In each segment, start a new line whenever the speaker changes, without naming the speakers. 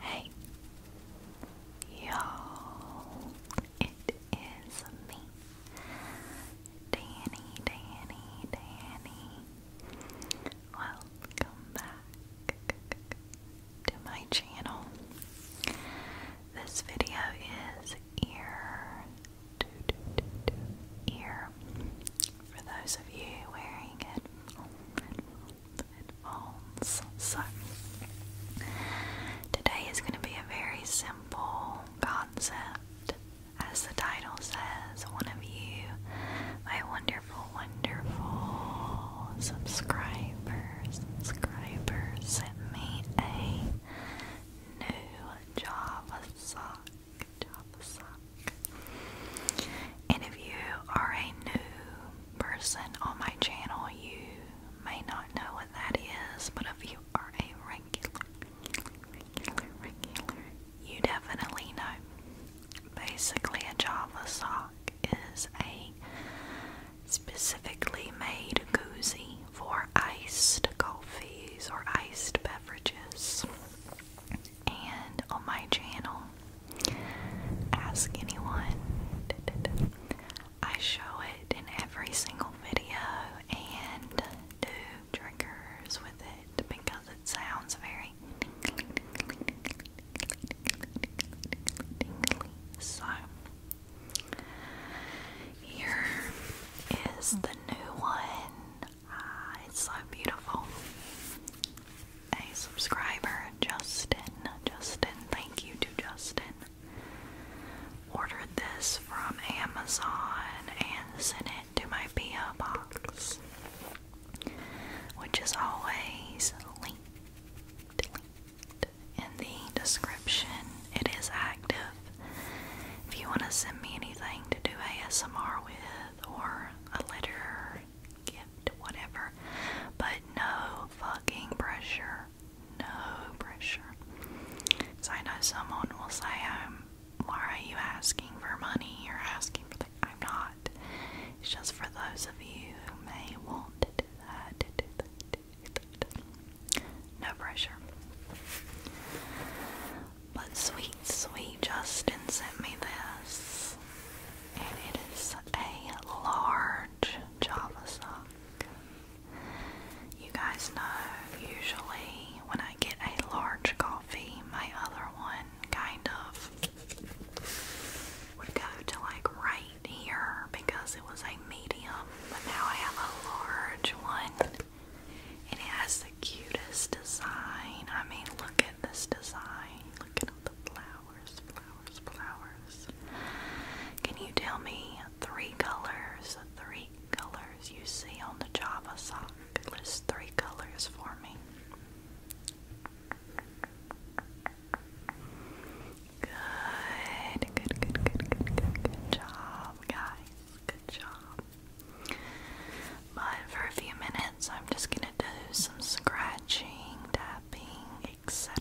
Hey, y'all! It is me, Danny, Danny, Danny. Welcome back to my channel. This video is ear, do, do, do, do, ear for those of you wearing it headphones. So, today is going to be a very simple concept. As the title says, one of you, my wonderful, wonderful subscribers, subscribers sent me a new Java sock. And if you are a new person on my channel, you may not know what that is, but if you are a regular, regular, regular, you definitely know. Basically, a Java sock is a specifically made koozie for iced coffees or iced beverages and on my channel, Ask Anyone, I show it in every single video and do triggers with it because it sounds very So, here is the new one Ah, it's so beautiful. A subscriber, Justin. Justin, thank you to Justin. Ordered this from Amazon and sent it to my P.O. box, which is always linked in the description. It is active. If you want to send me anything to do ASMR with, or a letter, gift, whatever. But no fucking pressure. No pressure. So I know someone will say, um, why are you asking for money? You're asking for I'm not. It's just for those of you who may want to do that, No pressure. But sweet, sweet Justin sent me this, and it is a large Java sock. You guys know, usually when I get a large coffee, my other one kind of would go to like right here because it was a medium, but now I have a large one and it has the cutest design. I mean, look at this design. Look at all the flowers, flowers, flowers. Can you tell me three colors? Three colors you see on the Java sock. List three colors for me. Good, good, good, good, good, good, good job, guys. Good job. But for a few minutes, I'm just gonna do some scratching, tapping, etc.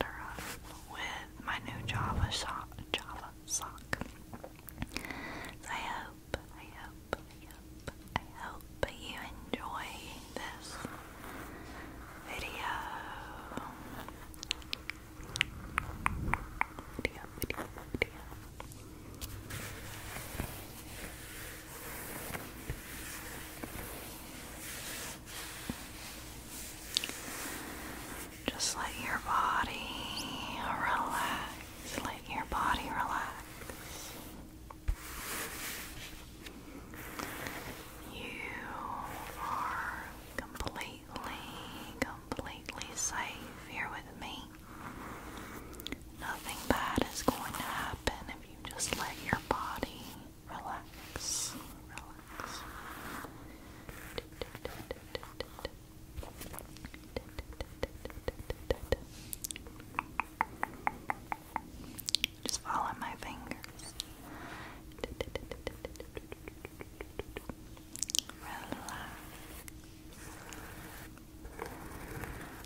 with my new Java sock. Java sock. I hope, I hope, I hope, I hope you enjoy this video. Video, just let your body relax. Let your body relax. You are completely, completely safe here with me. Nothing bad is going to happen if you just let your body relax. Relax. Just follow my fingers. Relax.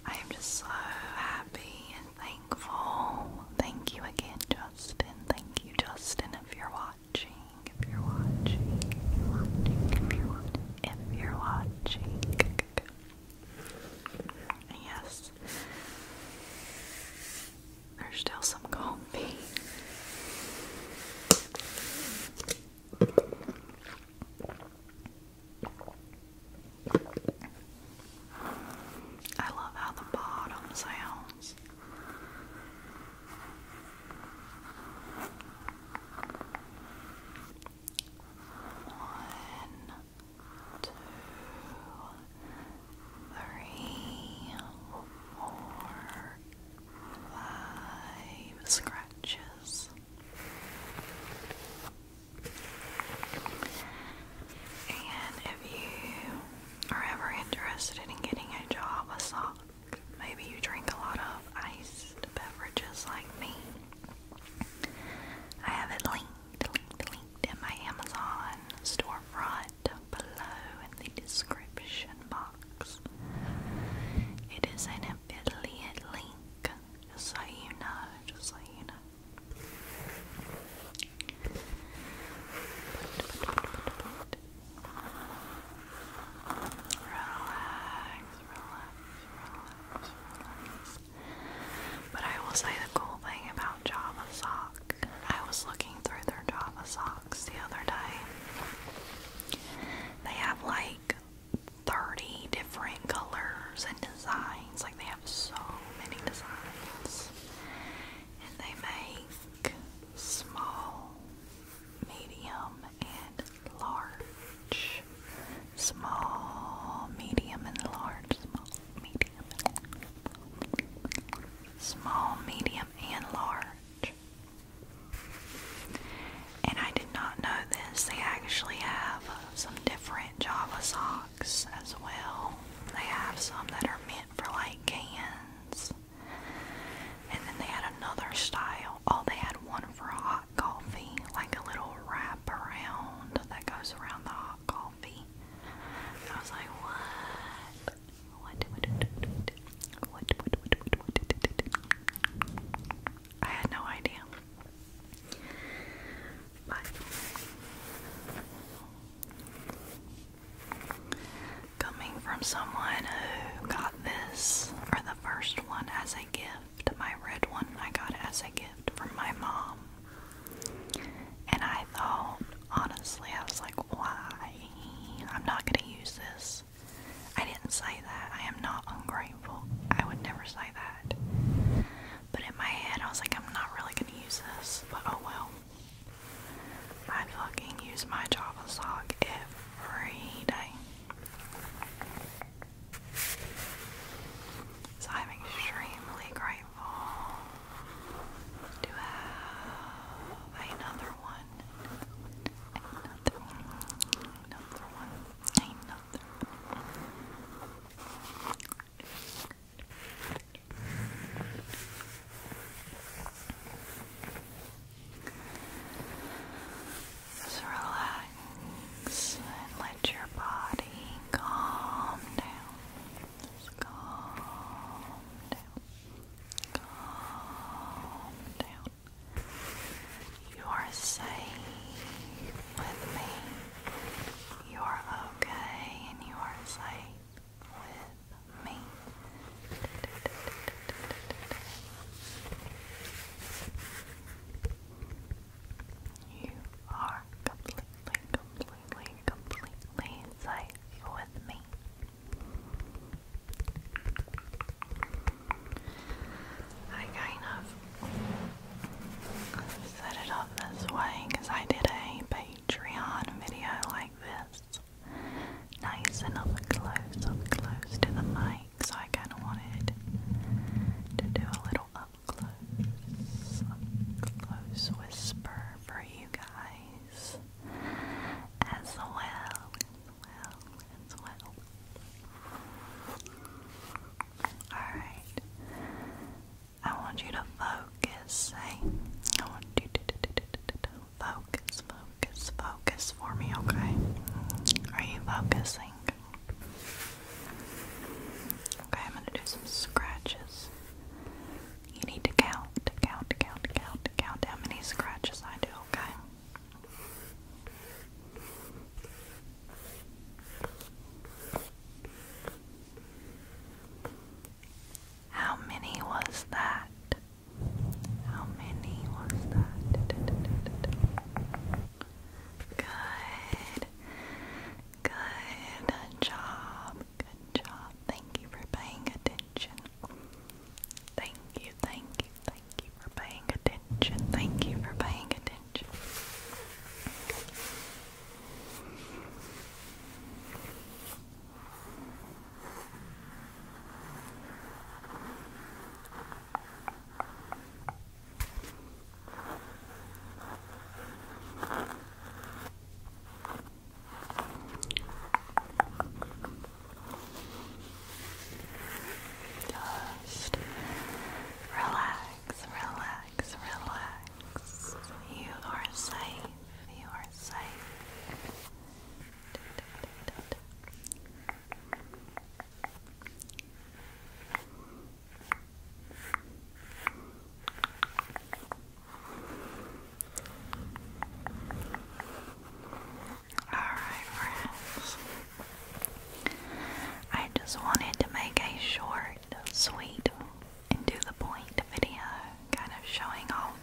I am just so happy and thankful. Thank you again, Justin. Thank you, Justin, if you're watching. If you're watching, if you're watching, if you're watching, yes, there's still some coffee. I love how the bottom sounds. One, two, three, four, five scratches. And if you are ever interested in getting a job, a sock, maybe you drink a lot of iced beverages like me. I have it linked in my Amazon storefront below in the description box box. It is an affiliate link, just so you know, just so you know. Relax, relax, relax, But I will say the cool thing about Java Sock, I was looking through their Java socks the other day, they have like 30 different colors and designs. Like they have so many designs. And they make small, medium, and large. Small, medium, and large. Small, medium, Small, medium, and large. And I did not know this. They actually have some different Java socks as well. They have some that are meant for like cans. And then they had another style. Oh, they had one for hot coffee, like a little wrap around that goes around the hot coffee. I was like, what? What? What? I had no idea. But coming from someone who got this or the first one as a gift, my red one I got as a gift from my mom. And I thought Honestly, I was like, why? I'm not gonna use this. I didn't say that. I am not ungrateful. I would never say that. But in my head, I was like, I'm not really gonna use this. But oh well. I fucking use my Java sock every day. So I'm extremely grateful to have another one, another one, another one, another Just relax and let your body calm down. calm down. Calm down. You are safe with me. You are okay and you are safe with me. You are completely, completely, completely safe with me. I kind of set it up this way because I did a Patreon video like this. Nice and up close, up close to the mic, so I kind of wanted to do a little up close, up close whisper for you guys as well, as well, as well. Alright. I want you to focus, hey? I want you to focus, focus, focus for me, okay? Are you focusing? Okay, I'm gonna do some scratches. You need to count, count, count, count, count how many scratches I do, okay? How many was that? How many was that? Good. Good job. Good job. Thank you for paying attention. Thank you, thank you, thank you for paying attention. Thank you for paying attention. Just relax, relax, relax. You are safe. You are safe. Alright, friends. I just wanted to make a short, sweet, and to the point video kind of showing off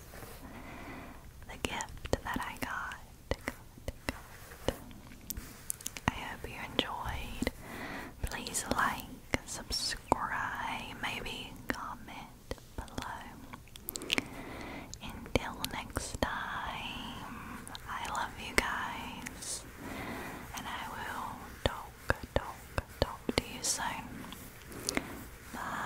the gift that I got. I hope you enjoyed. Please like, subscribe, maybe comment below. Until next time, I love you guys, and I will talk, talk, talk to you soon. Bye.